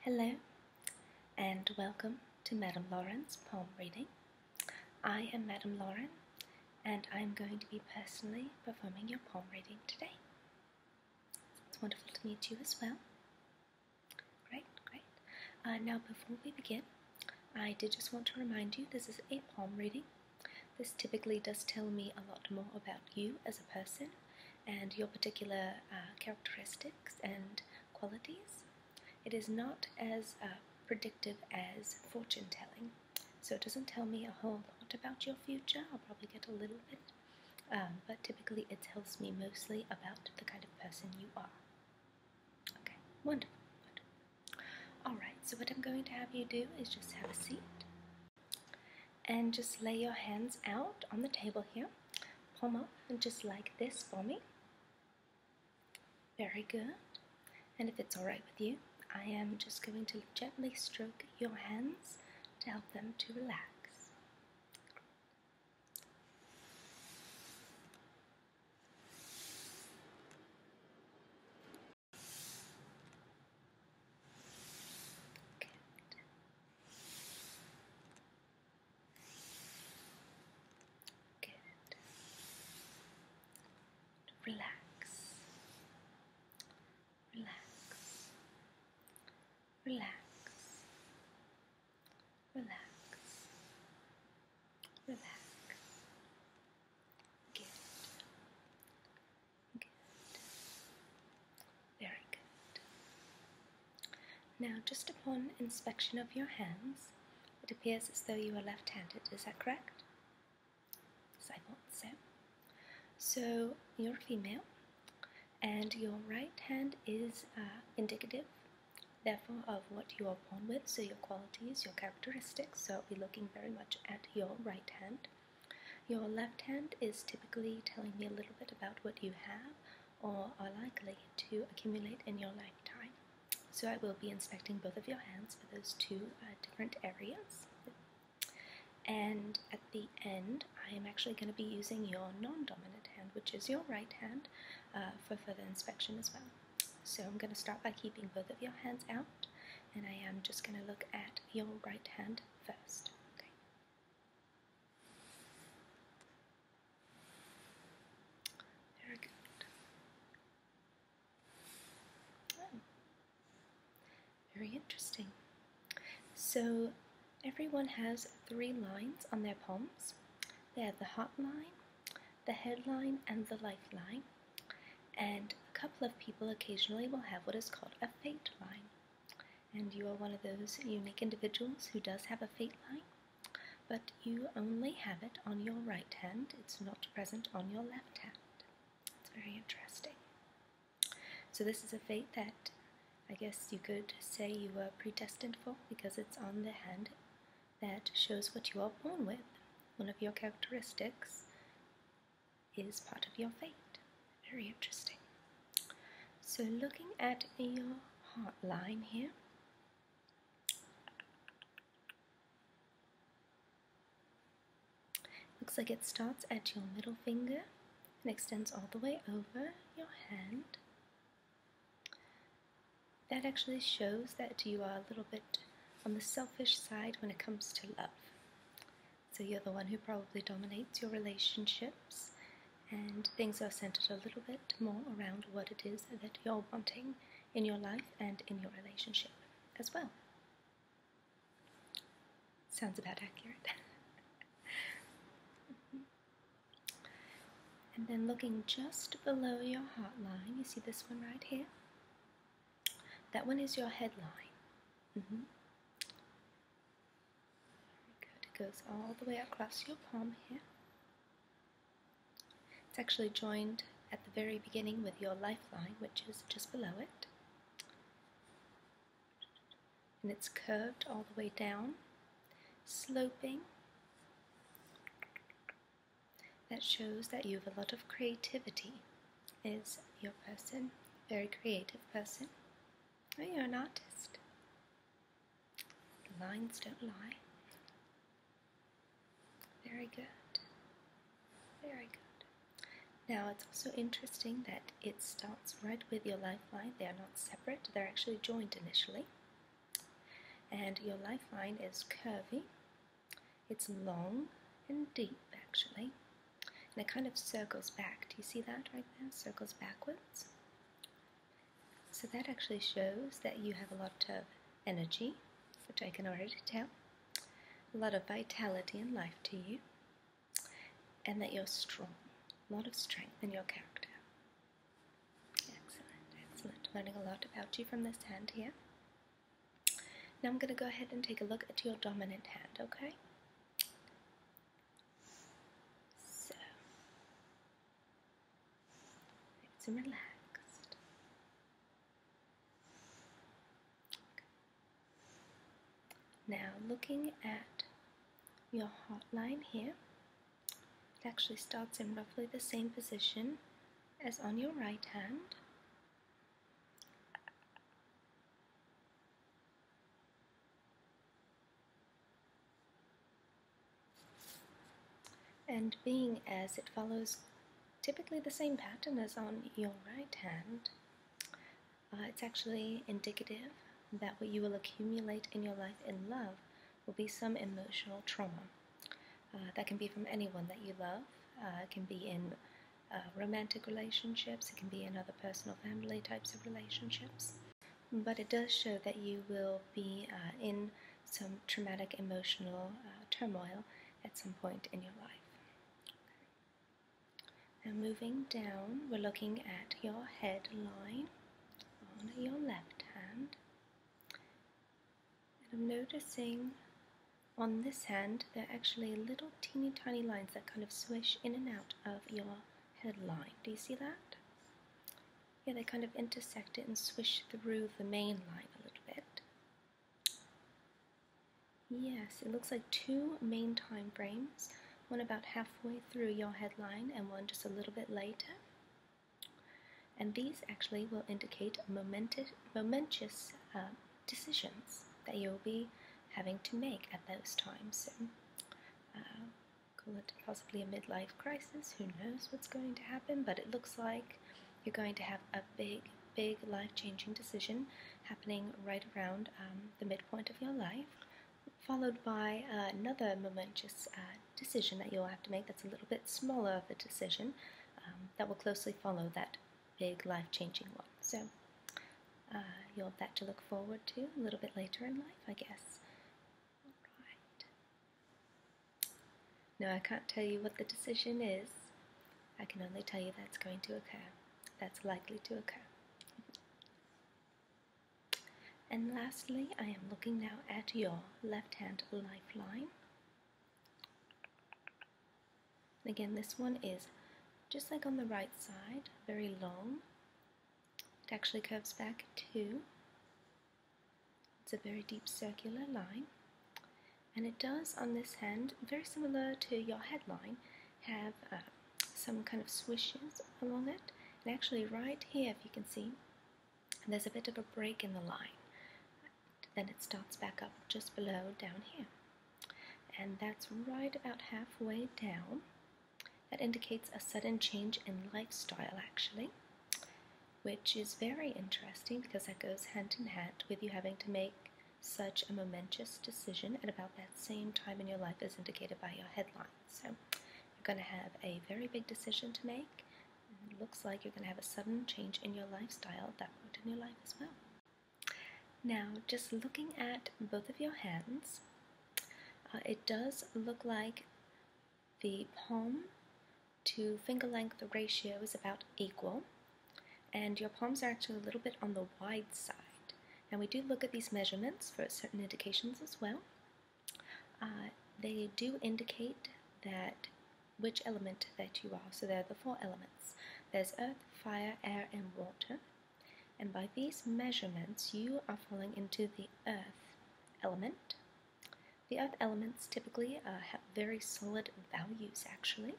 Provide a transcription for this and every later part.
Hello, and welcome to Madame Lauren's palm reading. I am Madame Lauren, and I am going to be personally performing your palm reading today. It's wonderful to meet you as well. Great, great. Uh, now, before we begin, I did just want to remind you this is a palm reading. This typically does tell me a lot more about you as a person and your particular uh, characteristics and qualities. It is not as uh, predictive as fortune telling, so it doesn't tell me a whole lot about your future. I'll probably get a little bit, um, but typically it tells me mostly about the kind of person you are. Okay, wonderful. Alright, so what I'm going to have you do is just have a seat. And just lay your hands out on the table here, palm up, and just like this for me. Very good. And if it's alright with you, I am just going to gently stroke your hands to help them to relax. Good. Good. Relax. Relax. Relax. Relax. Relax. Good. Very good. Now, just upon inspection of your hands, it appears as though you are left handed, is that correct? Yes, I thought so. So, you're female, and your right hand is uh, indicative, therefore, of what you are born with, so your qualities, your characteristics. So, I'll be looking very much at your right hand. Your left hand is typically telling me a little bit about what you have or are likely to accumulate in your lifetime. So I will be inspecting both of your hands for those two uh, different areas. And at the end, I am actually going to be using your non-dominant hand, which is your right hand, uh, for further inspection as well. So I'm going to start by keeping both of your hands out, and I am just going to look at your right hand first. Okay. Very good. Hmm. Very interesting. So everyone has three lines on their palms. They are the hot line, the headline, and the lifeline and a couple of people occasionally will have what is called a fate line. And you are one of those unique individuals who does have a fate line, but you only have it on your right hand, it's not present on your left hand. It's very interesting. So, this is a fate that I guess you could say you were predestined for because it's on the hand that shows what you are born with. One of your characteristics is part of your fate. Very interesting. So, looking at your heart line here. Looks like it starts at your middle finger and extends all the way over your hand. That actually shows that you are a little bit on the selfish side when it comes to love. So you're the one who probably dominates your relationships, and things are centered a little bit more around what it is that you're wanting in your life and in your relationship as well. Sounds about accurate. and then looking just below your heart line, you see this one right here? That one is your headline. Very mm-hmm. good. It goes all the way across your palm here. It's actually joined at the very beginning with your lifeline, which is just below it. And it's curved all the way down, sloping that shows that you have a lot of creativity. Is your person a very creative person? Are you an artist? The lines don't lie. Very good. Very good. Now it's also interesting that it starts right with your lifeline. They are not separate, they're actually joined initially. And your lifeline is curvy, it's long and deep actually, and it kind of circles back. Do you see that right there? Circles backwards. So that actually shows that you have a lot of energy, which I can already tell, a lot of vitality and life to you, and that you're strong, a lot of strength in your character. Excellent, excellent. Learning a lot about you from this hand here. Now I'm going to go ahead and take a look at your dominant hand, okay? So, nice relaxed. Now, looking at your heart line here, it actually starts in roughly the same position as on your right hand. And being as it follows typically the same pattern as on your right hand, uh, it's actually indicative that what you will accumulate in your life in love will be some emotional trauma. Uh, that can be from anyone that you love. Uh, it can be in uh, romantic relationships, it can be in other personal family types of relationships. But it does show that you will be in some traumatic emotional turmoil at some point in your life. Now, moving down, we're looking at your head line on your left hand. And I'm noticing on this hand, there are actually little teeny tiny lines that kind of swish in and out of your headline. Do you see that? Yeah, they kind of intersect it and swish through the main line a little bit. Yes, it looks like two main time frames, one about halfway through your headline and one just a little bit later. And these actually will indicate momentous, uh, decisions that you'll be having to make at those times. So, uh, call it possibly a midlife crisis, who knows what's going to happen, but it looks like you're going to have a big, big life changing decision happening right around um, the midpoint of your life, followed by another momentous uh, decision that you'll have to make that's a little bit smaller of a decision um, that will closely follow that big life changing one. So uh, you'll have that to look forward to a little bit later in life, I guess. Alright. No, I can't tell you what the decision is. I can only tell you that's going to occur. That's likely to occur. And lastly, I am looking now at your left hand lifeline. And again, this one is just like on the right side, very long. It actually curves back too. It's a very deep circular line. And it does on this hand, very similar to your headline, have uh, some kind of swishes along it. And actually right here, if you can see, there's a bit of a break in the line. Then it starts back up just below down here. And that's right about halfway down. That indicates a sudden change in lifestyle, actually, which is very interesting because that goes hand in hand with you having to make such a momentous decision at about that same time in your life as indicated by your headline. So, you're going to have a very big decision to make Mm-hmm. looks like you're going to have a sudden change in your lifestyle at that point in your life as well. Now, just looking at both of your hands, uh, it does look like the palm to finger length ratio is about equal, and your palms are actually a little bit on the wide side. Now, we do look at these measurements for certain indications as well. Uh, they do indicate that which element that you are. So there are the four elements. There's earth, fire, air, and water. And by these measurements, you are falling into the earth element. The earth elements typically have very solid values, actually.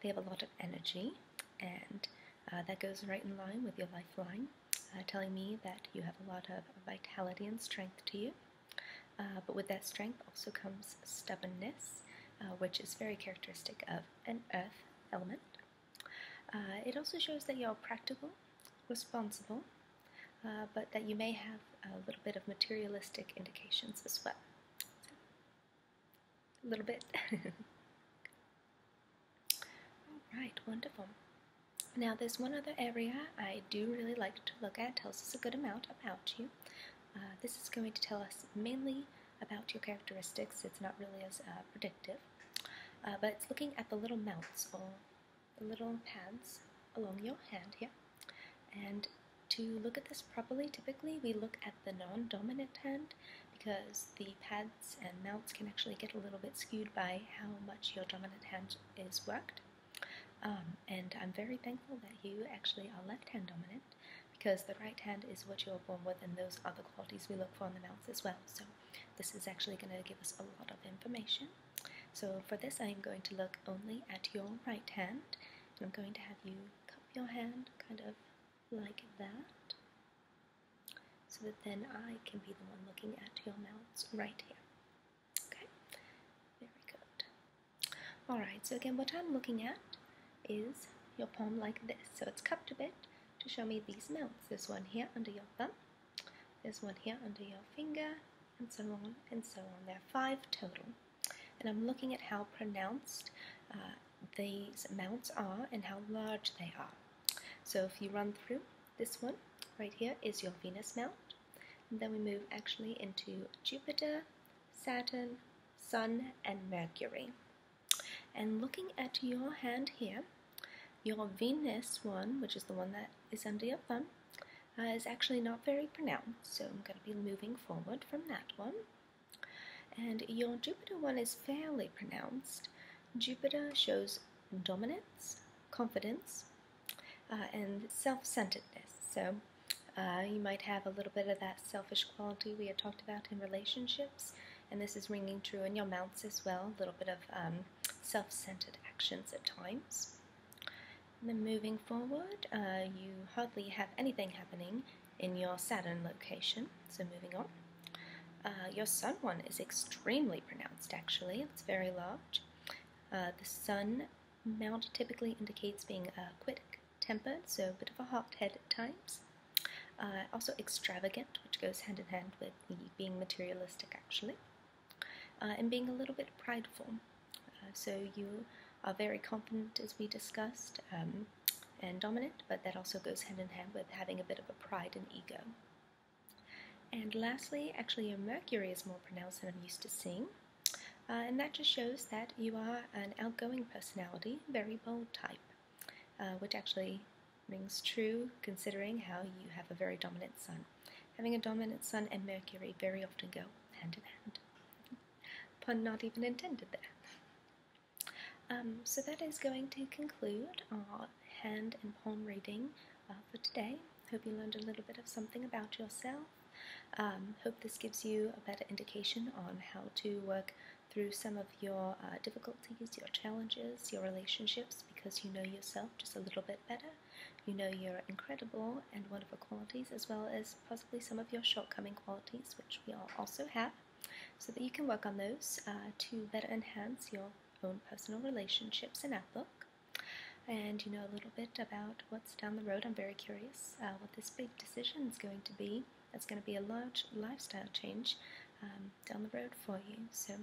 They have a lot of energy, and uh, that goes right in line with your lifeline. Uh, telling me that you have a lot of vitality and strength to you. Uh, but with that strength also comes stubbornness, uh, which is very characteristic of an earth element. it also shows that you're practical, responsible, but that you may have a little bit of materialistic indications as well. A little bit. All right, wonderful. Now, there's one other area I do really like to look at, tells us a good amount about you. Uh, this is going to tell us mainly about your characteristics, it's not really as uh, predictive, uh, but it's looking at the little mounts or the little pads along your hand here. And to look at this properly, typically we look at the non dominant hand because the pads and mounts can actually get a little bit skewed by how much your dominant hand is worked. Um, and I'm very thankful that you actually are left hand dominant because the right hand is what you are born with, and those are the qualities we look for in the mouth as well. So, this is actually going to give us a lot of information. So, for this, I am going to look only at your right hand, I'm going to have you cup your hand kind of like that so that then I can be the one looking at your mounts right here. Okay, very good. Alright, so again, what I'm looking at is your palm like this. So it's cupped a bit to show me these mounts. There's one here under your thumb, there's one here under your finger, and so on and so on. There are five total. And I'm looking at how pronounced uh, these mounts are and how large they are. So if you run through, this one right here is your Venus mount. then we move actually into Jupiter, Saturn, Sun, and Mercury. And looking at your hand here, your Venus one, which is the one that is under your thumb, uh, is actually not very pronounced, so I'm going to be moving forward from that one. And your Jupiter one is fairly pronounced. Jupiter shows dominance, confidence, uh, and self centeredness. So uh, you might have a little bit of that selfish quality we had talked about in relationships, and this is ringing true in your mounts as well, a little bit of um, self centered actions at times. then moving forward, uh, you hardly have anything happening in your Saturn location so moving on. Uh, your sun one is extremely pronounced, actually. It's very large. Uh, the sun mount typically indicates being uh, quick tempered, so a bit of a hot head at times. Uh, also extravagant, which goes hand in hand with being materialistic, actually. and being a little bit prideful. so you are very confident, as we discussed, um, and dominant, but that also goes hand in hand with having a bit of a pride and ego. And lastly, actually, a Mercury is more pronounced than I'm used to seeing. Uh, and that just shows that you are an outgoing personality, very bold type, uh, which actually rings true considering how you have a very dominant sun. Having a dominant sun and Mercury very often go hand in hand. Pun not even intended there. Um, so that is going to conclude our hand and palm reading uh, for today. I Hope you learned a little bit of something about yourself. Um, hope this gives you a better indication on how to work through some of your uh, difficulties, your challenges, your relationships, because you know yourself just a little bit better. You know your incredible and wonderful qualities, as well as possibly some of your shortcoming qualities, which we all also have so that you can work on those uh, to better enhance your own personal relationships and outlook. And you know a little bit about what's down the road. I'm very curious uh, what this big decision is going to be. It's going to be a large lifestyle change um, down the road for you. So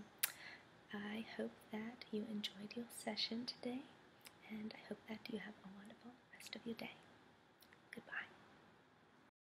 I hope that you enjoyed your session today, and I hope that you have a wonderful rest of your day. Goodbye.